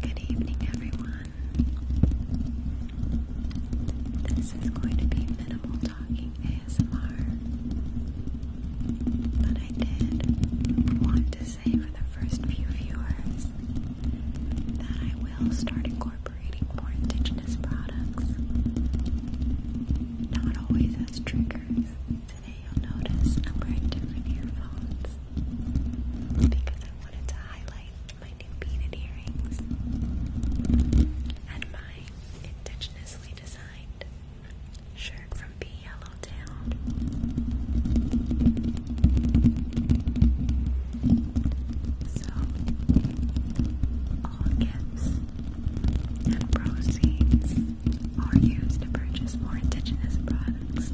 Good evening, everyone. This is going to be minimal talking ASMR, but I did want to say for the first few viewers that I will start incorporating more indigenous products, not always as triggers. Today you'll notice I'm wearing different earphones because I wanted to highlight my new beaded earrings and my indigenously designed shirt from P Yellowtown. So all gifts and proceeds are used to purchase more indigenous products,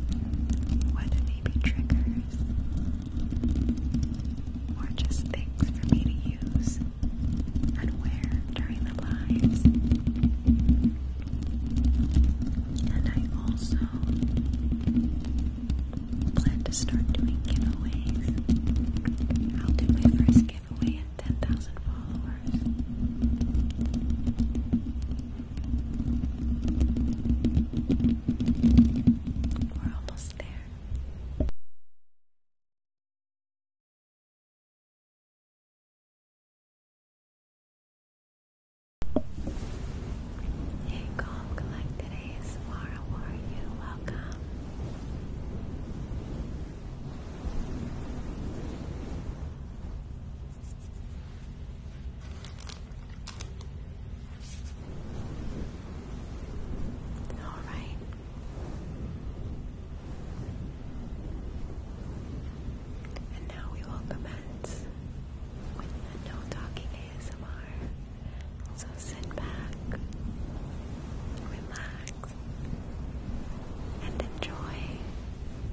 whether they be triggers or just things for me to use and wear during the lives. And I also plan to start doing giveaways. I'll do my first giveaway at 10,000 followers. We're almost there. Hey, calm, collected ASMR. How are you? Welcome. All right. And now we will commence with no talking ASMR. So sit back, relax, and enjoy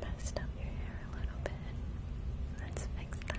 Messed up your hair a little bit. Let's fix that.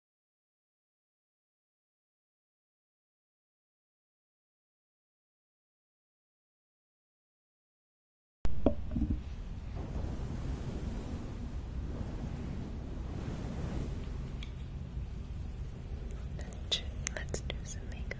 Let's do some makeup.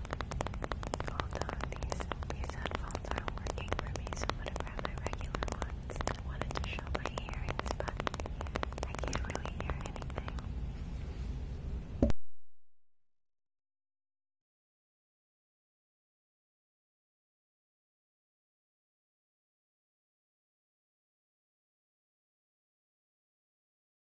Hold these, these are working for me, so I'm gonna grab my regular ones. I wanted to show my earrings, but I can't really hear anything.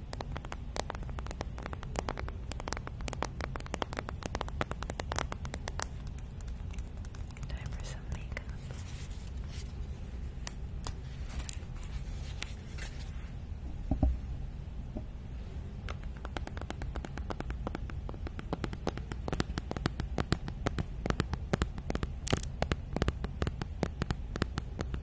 Time for some makeup.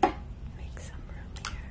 Make some room here.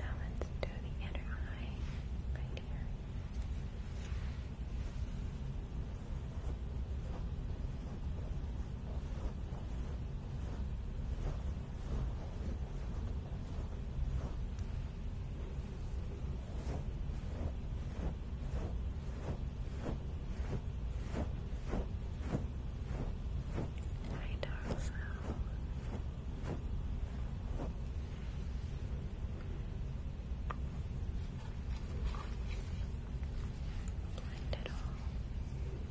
Now let's do the inner eye right here. Hi, Darcel. Blind at all. Hi,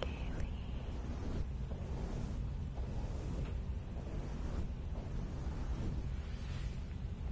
Kaylee.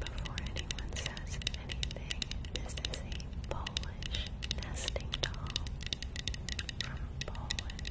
Before anyone says anything, this is a Polish nesting doll from Poland.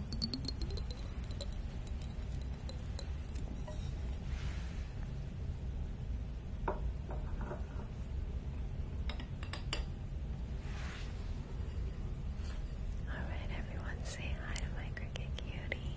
Alright, everyone, say hi to my cricket cutie.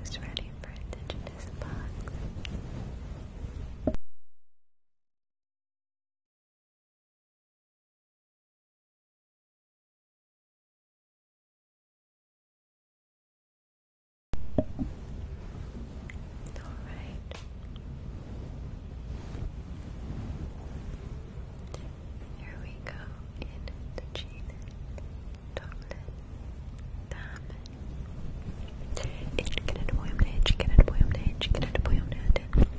Who's ready for a digital all right. Here we go in the cheated chocolate diamond. It can it boy on the edge, can it boy on the edge, can it boy on the edge.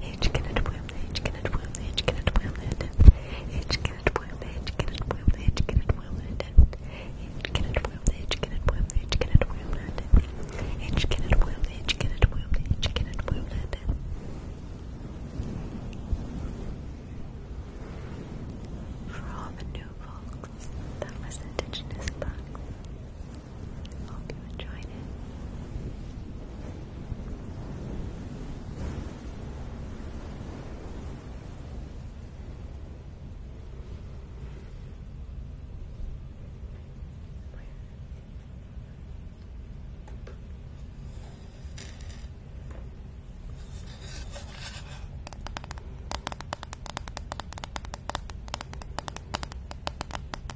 Hiç gene doyumda, hiç gene doyumda, hiç gene doyumda, hiç gene doyumda, hiç gene doyumda, hiç gene doyumda, hiç gene doyumda, hiç gene doyumda, hiç gene doyumda, hiç gene doyumda, hiç gene doyumda, hiç gene doyumda. From the new box that was indigenous box. Hope you enjoyed it. Thank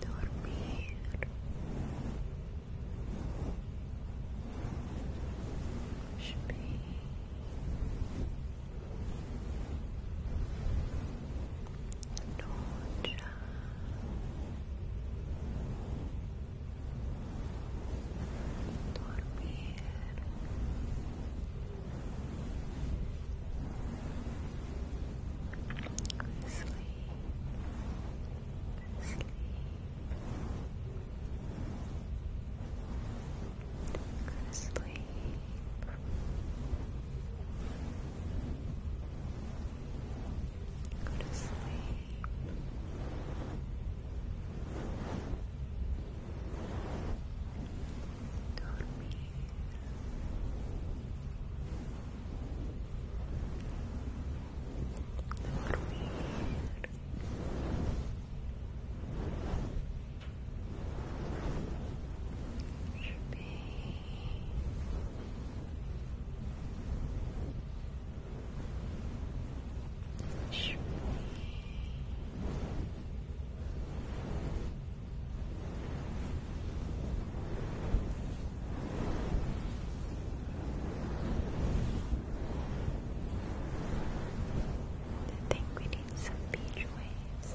dormir Shmi. Noche dormir sleep sleep sleep Go to sleep. Dormir. Dormir. Sleepy. I think we need some beach waves.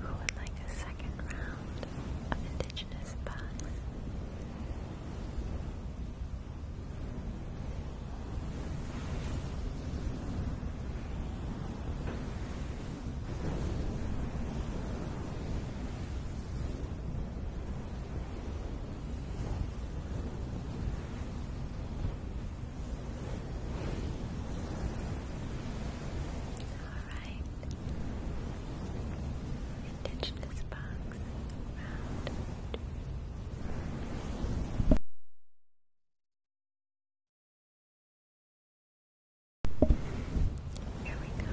Who would like a second round of Indigenous Bugs? Alright. Ditch this box around. Here we go.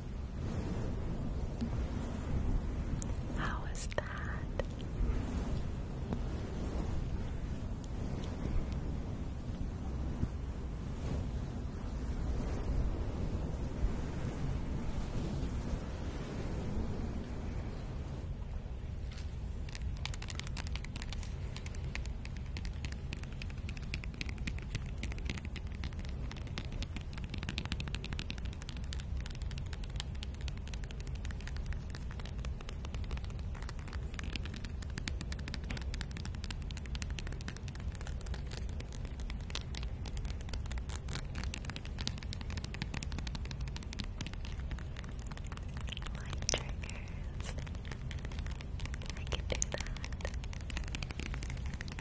How is that? Light triggers. I can do that.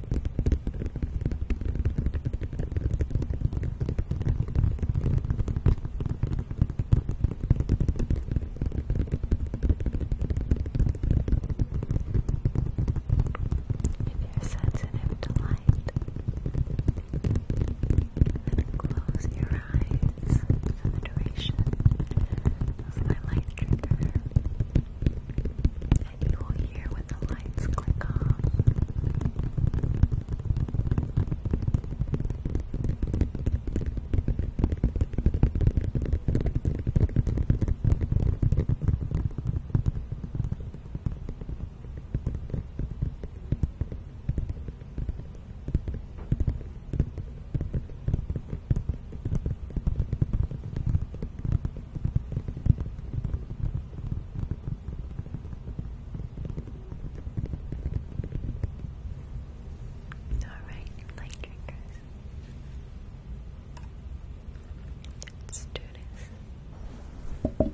you're sensitive to light, then close your eyes for the duration of my light trigger you will hear when the lights click off. Alright, light drinkers. Let's do this.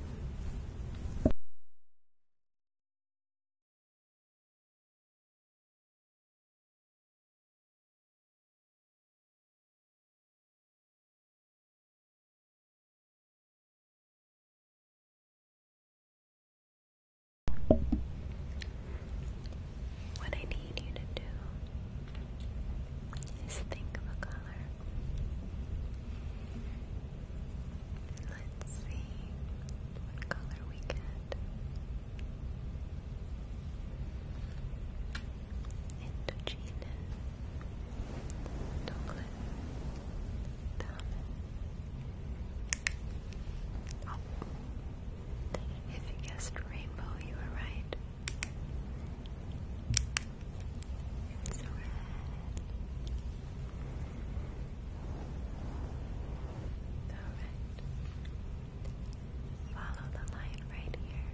What I need you to do is think of a color. Let's see what color we get. Gina, If you guessed rainbow, you were right. It's red. Follow the line right here.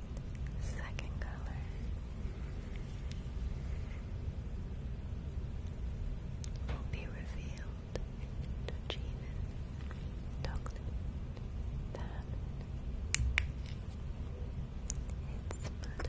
Second color. Will be revealed to Genus, It's blood.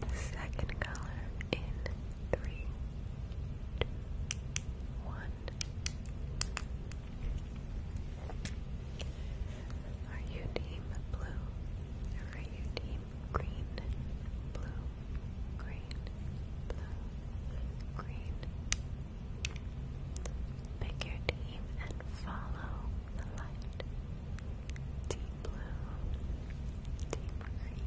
The second color in three, two, one. Are you team blue or are you team green, blue, green, blue, green. Pick your team and follow the light. Team blue, team green.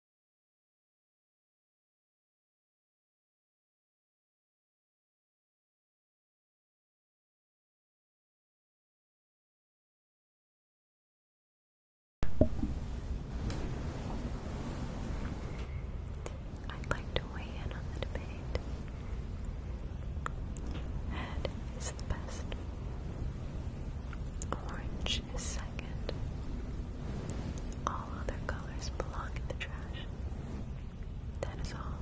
I'd like to weigh in on the debate. Head is the best. Orange trash second. All other colors belong in the trash. That is all.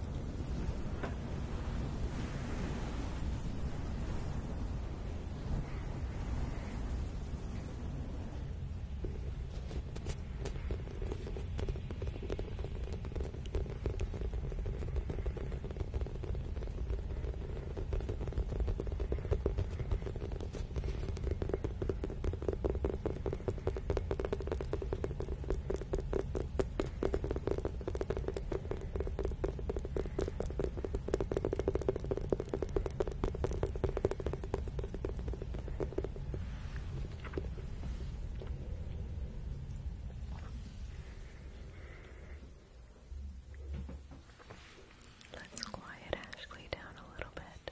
Let's quiet Ashley down a little bit.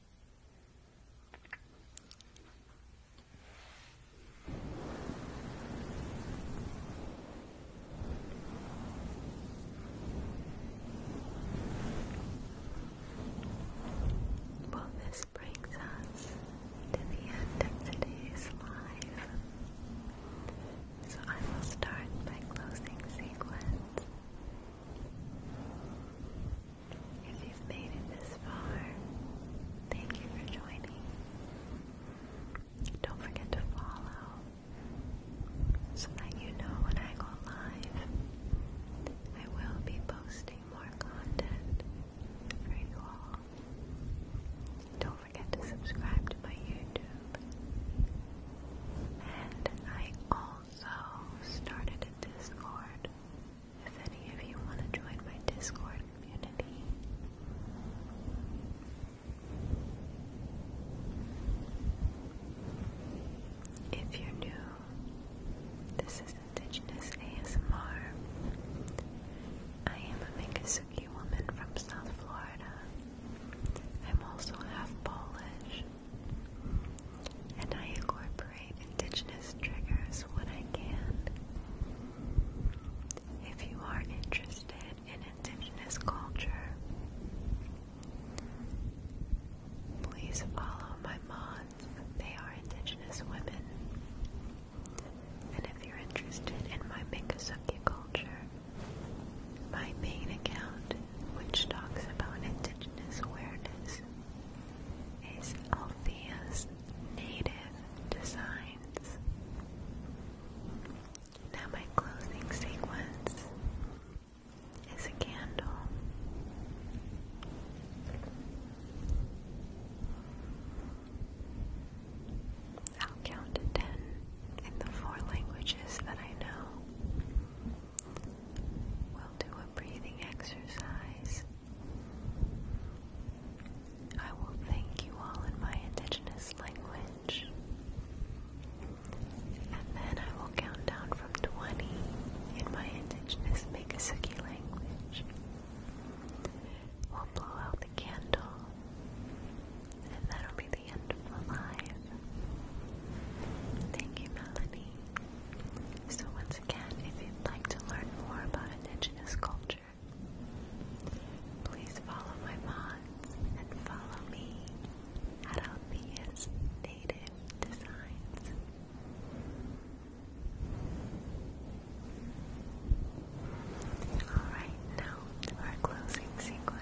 Well, this brings us to the end of today's live. So I will start my closing sequence. If you've made it this far, thank you for joining. Don't forget to follow so that you know when I go live. I will be posting more content for you all. Don't forget to subscribe to my YouTube. And I also started a Discord if any of you want to join my Discord community, if you're new, this is Indigenous ASMR. I am a Miccosukee woman from South Florida. I'm also half Polish and I incorporate indigenous triggers when I can. If you are interested in indigenous culture, please follow my mods. They are indigenous women. And if you're interested in my Miccosukee culture, my main account, which talks about indigenous awareness, is Althea's native designs. Now, my closing sequence is a candle. I'll count to ten in the four languages that I know. We'll do a breathing exercise I will thank you all in my indigenous language. And then I will count down from 20 in my indigenous Megasuki language. We'll blow out the candle, and that'll be the end of the live. Thank you, Melanie. So once again, if you'd like to learn more about indigenous culture, please follow my mods and follow me at Althea's Native Designs. Alright, now our closing sequence.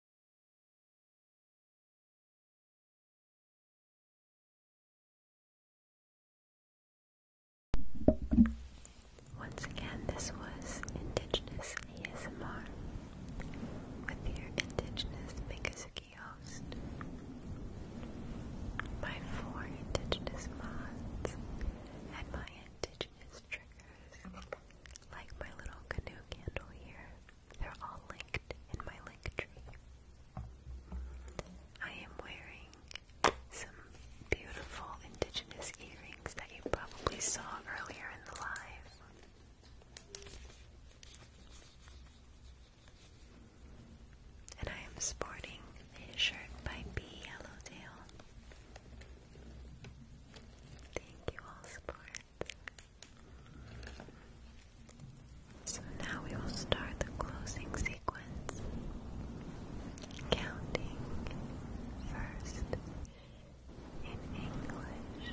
Once again, this was Indigenous ASMR with your Indigenous Mikizuki host. My four Indigenous mods and my Indigenous triggers, like my little canoe candle here. They're all linked in my link tree. I am wearing some beautiful indigenous earrings that you probably saw earlier in the live. And I am sporting a shirt by B. Yellowtail. Thank you all, support. So now we will start the closing sequence. Counting first in English.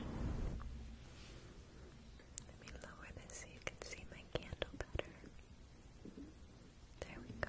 Let me lower this so you can see my candle better. There we go.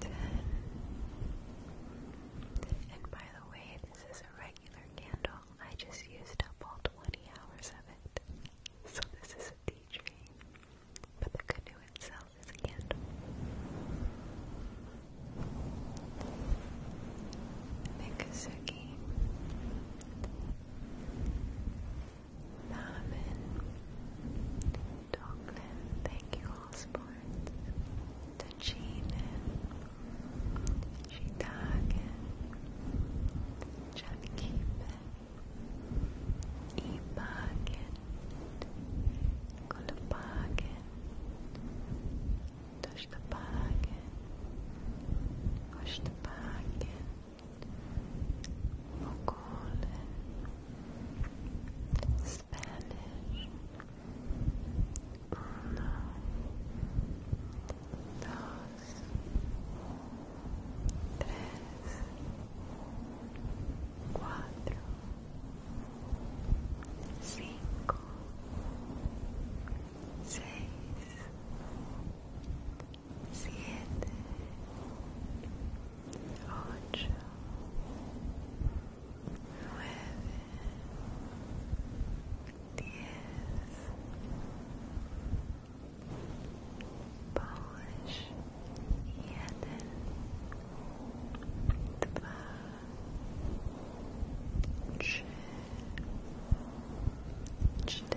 ten. And by the way, this is a regular candle. I just used up all 20 hours of it. So this is a tea tree. But the canoe itself is a candle. Mikasuki Marvin, Doglin, thank you all sports. Tachinin, Shitagen, Jeff Keepin, Ebagen, Kulabagen, Tushtabagen, Ushtabagen, Mongolian, Spanish, uno, dos, cuatro, cinco, seis. siete, ocho, nueve, diez. Polish, jeden, dwa, trzy, cztery.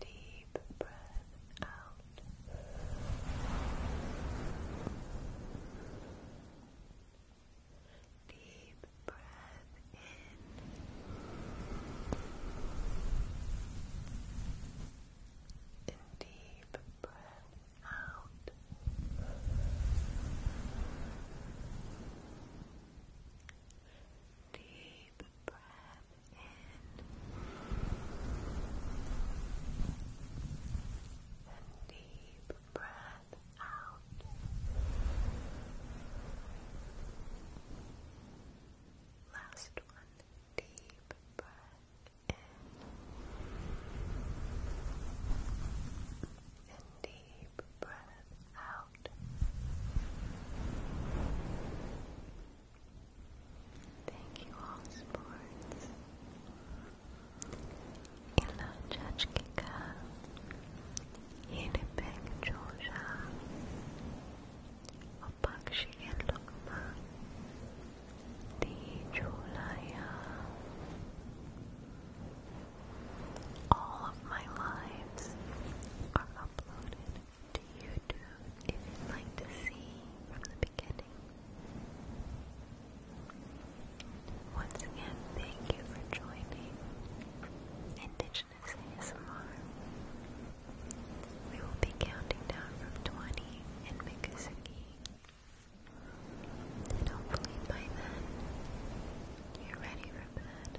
deep breath out. Deep breath in. deep breath out. Deep breath in and deep breath out. Last one, deep breath in and deep breath out. Thank you all sports. İlaççıkka, yeni pek çocuğa, opak şeker lokma, di çulaya, all of my lives are uploaded to YouTube if you'd like to see from the beginning. Once again, thank you for joining Indigenous ASMR. We will be counting down from 20 in Mikusaki. And hopefully by then, you're ready for bed.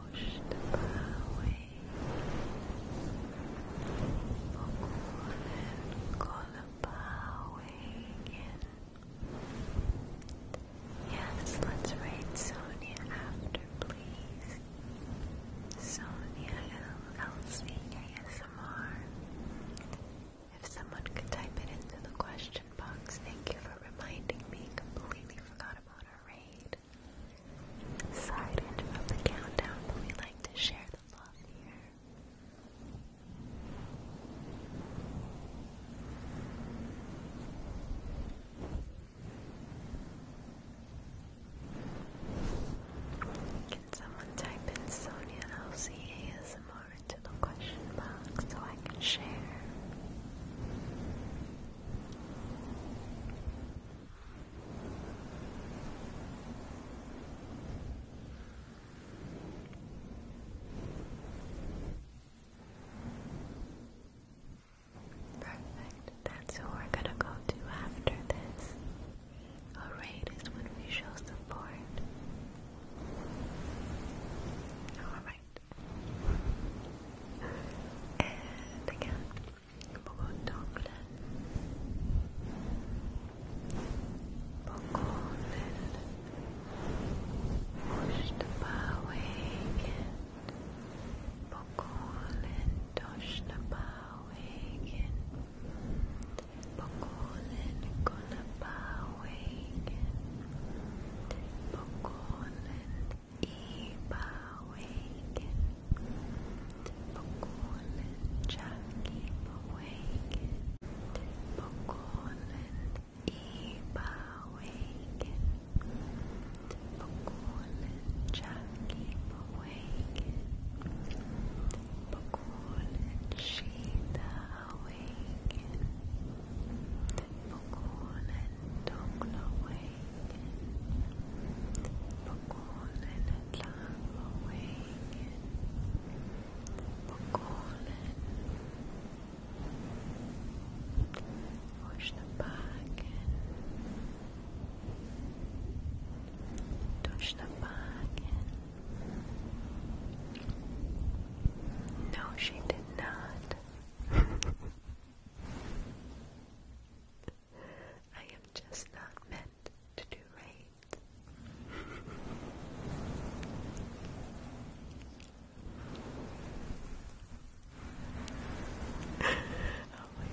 washed away. Yes, let's write Sonia after, please. Sonia LLC If someone could type it into the question box, thank you for reminding me. Completely forgot Side am on the countdown, we like to share the love here. Can someone type in Sonia LC ASMR into the question box so I can share? Perfect. That's who we're gonna go to after this. A raid is when we show support. Alright, and again, beaucoup d'anglais. Beaucoup pushed again. Bokolin Toshnabawagin Bokolin Gunabawagin Bokolin Bewaken. Begonnen, Jackie Bewaken. Begonnen, Bewaken. Begonnen, Jackie Bewaken. Begonnen, Sheeta بقول نطلع وين بقول وش نباكن توش نباكن no she did not I am just not meant to do right. oh my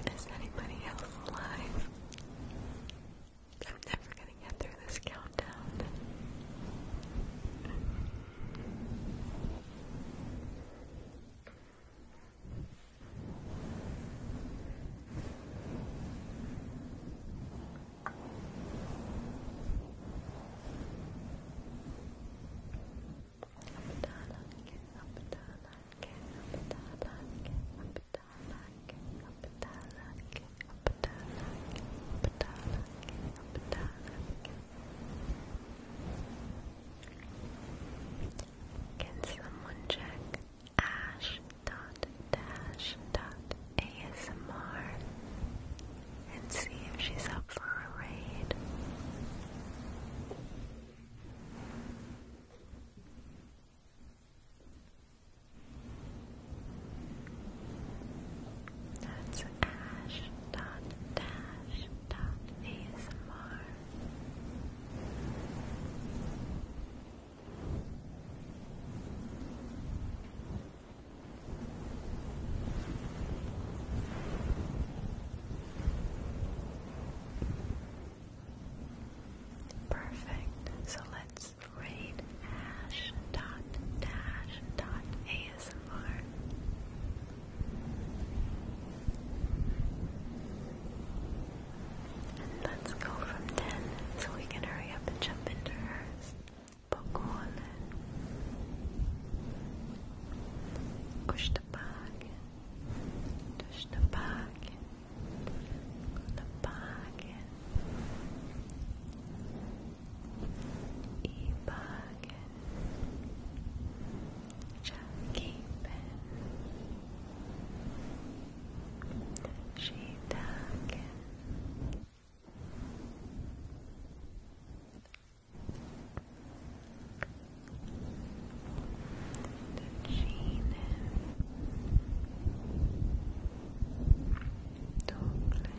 goodness. Is anybody else alive? I'm never gonna get through this countdown. Can someone check ash dot dash dot ASMR and see if she's up for a raid? That's ash dot dash dot ASMR. Perfect. So let's is raid dot dash dot ASMR. let's go from 10 so we can hurry up and jump into hers. Pokemon. Push the bag. Push the bag. The bag. İbagen Cakiben Shidagen Döşinen Toplen